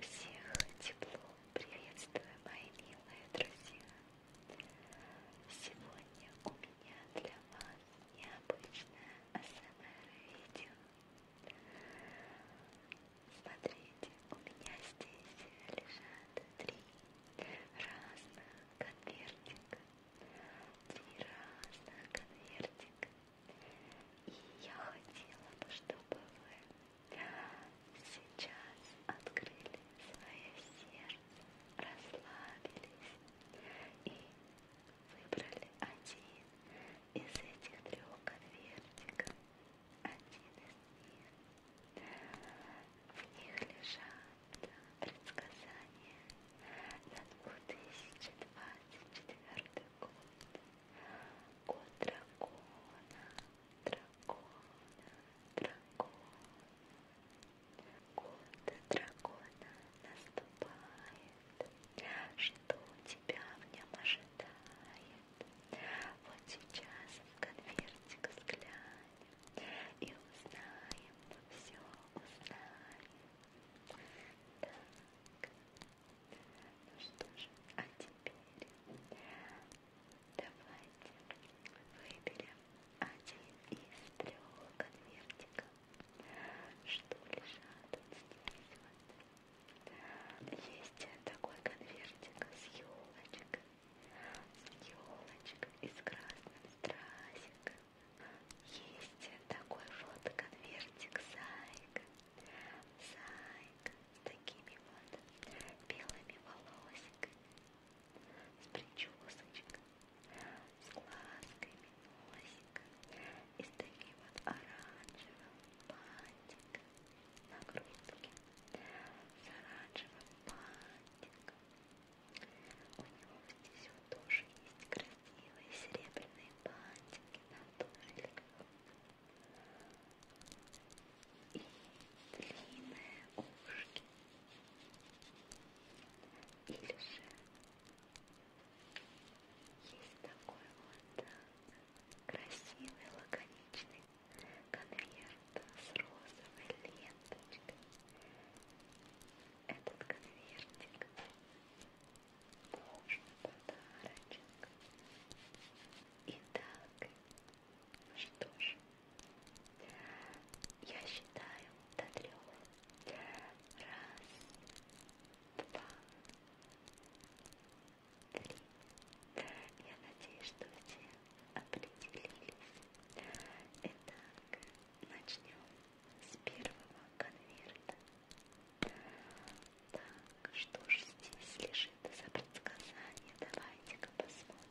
Всех тепло приветствую, мои милые друзья! Сегодня у меня для вас необычное АСМР-видео. Смотрите, у меня здесь лежат три разных конвертика. Три разных конвертика. И я хотела бы, чтобы вы сейчас открыли свое сердце, расслабились и выбрали один из этих трех конвертиков. Один из них. В них лежат предсказания за 2024 год. Год дракона, дракона, дракона. Год дракона наступает. Что тебя в нем ожидает? Вот сейчас в конвертик взглянем и узнаем, все узнаем. Так. Ну что же, а теперь давайте выберем один из трех конвертиков, что лежат вот здесь вот. Есть такой конвертик с елочкой, с елочкой из красных страсик. Есть такой вот конвертик зайка, зайка с такими вот белыми волосиками, с причесочкой, с глазками носика и с таким вот оранжевым бантиком на грудке, с оранжевым бантиком. У него внизу тоже есть красивые серебряные бантики на туфельках. И длинные ушки. Или же есть такой вот э, красивый лаконичный конверт конверт с розовой ленточкой. Этот конвертик тоже подарочек. Итак, ну что ж, я считаю до трех. Раз, два, три. Я надеюсь, что все определили. Итак, начнем с первого конверта. Так, что же здесь лежит за предсказание? Давайте-ка посмотрим.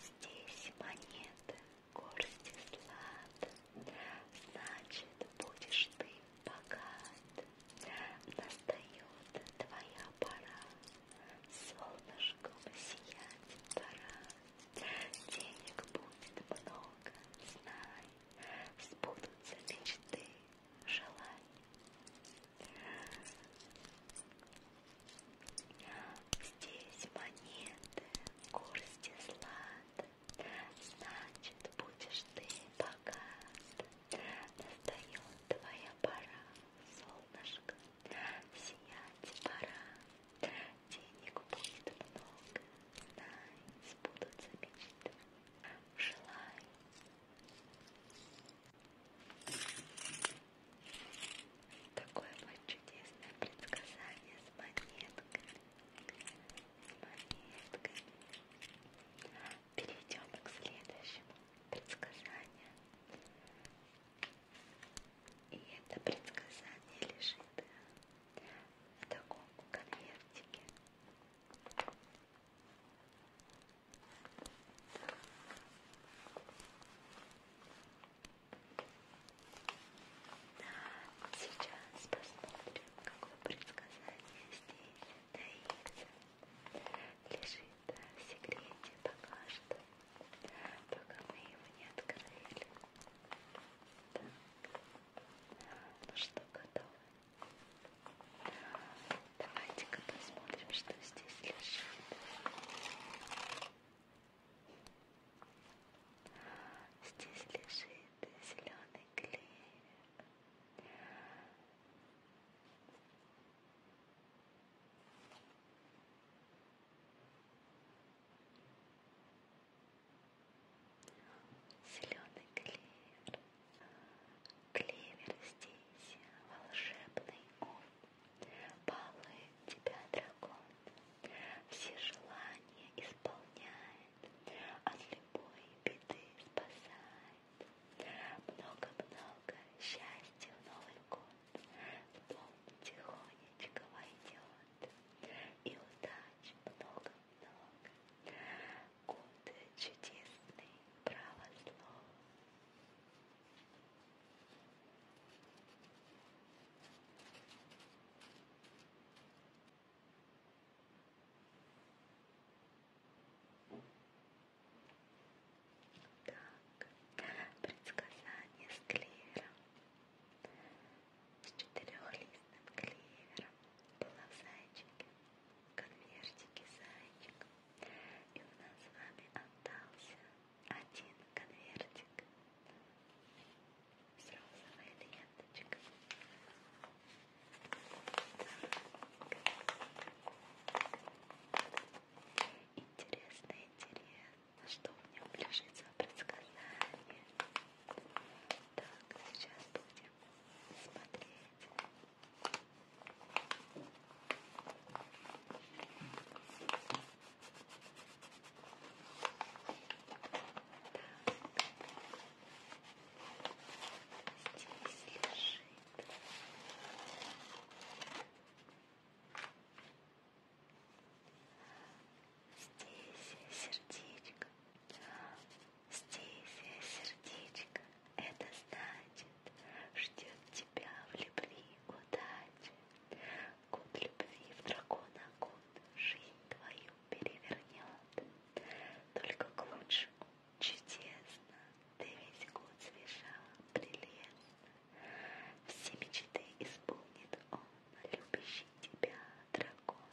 Здесь монета, горсти злат, Значит, будешь ты богат. Настает твоя пора, Солнышком сиять пора. Денег будет много, знай, Сбудутся мечты, желаний. Здесь монеты, горсти злат, значит, будешь ты богат. Настает твоя пора, солнышко, сиять пора. Денег будет много, знай, сбудутся мечты желаю. Такое вот чудесное предсказание с монетками. С монетками. Перейдем к следующему предсказанию. И это предсказание лежит в таком конвертике. Сейчас посмотрим, какое предсказание здесь таится. Лежит в секрете пока что, пока мы его не открыли. Так. Ну что, готовы? Давайте-ка посмотрим, что здесь лежит. Здесь лежит зеленый клей. Зеленый клевер. Клевер здесь волшебный он. Балует тебя дракон. Все желания исполняет. От любой беды спасает. Много-много счастья в Новый год. В дом тихонечко войдет. И удача очень много-много. Год чудесный, право слово. Так, предсказание склера с четырехлистным клевером, была в зайчике, в конвертике зайчик. И у нас с вами остался один конвертик с розовой ленточкой. Так. Интересно, интересно на что в нем лежит свое предсказание. Так, сейчас будем смотреть. Так, здесь лежит. Здесь сердечко. Здесь сердечко. Это значит, ждет тебя в любви удачи. Год любви в дракона год жизнь твою перевернет. Только к лучшему чудесно. Ты весь год свежа, прелестна. Все мечты исполнит он, любящий тебя дракон.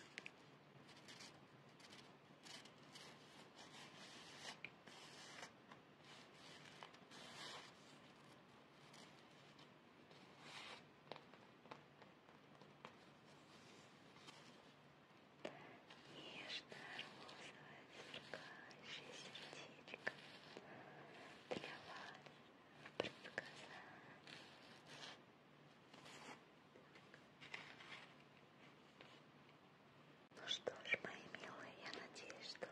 Нежная розовая сверкающее сердечко для вас в предсказании. Ну что ж, мои милые, я надеюсь, что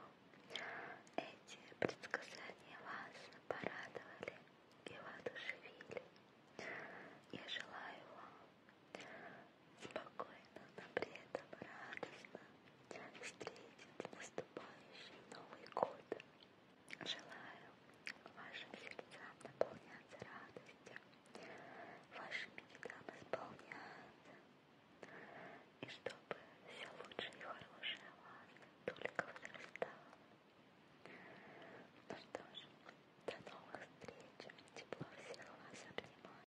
эти предсказания вас порадовали и воодушевили. Я желаю вам спокойно, но при этом радостно встретить наступающий Новый год. Желаю вашим сердцам наполняться радостью, ваши мечтам исполняться, и чтобы все лучшее и хорошее у вас только возрастало. Ну что ж, до новых встреч, тепло всех вас обнимаю.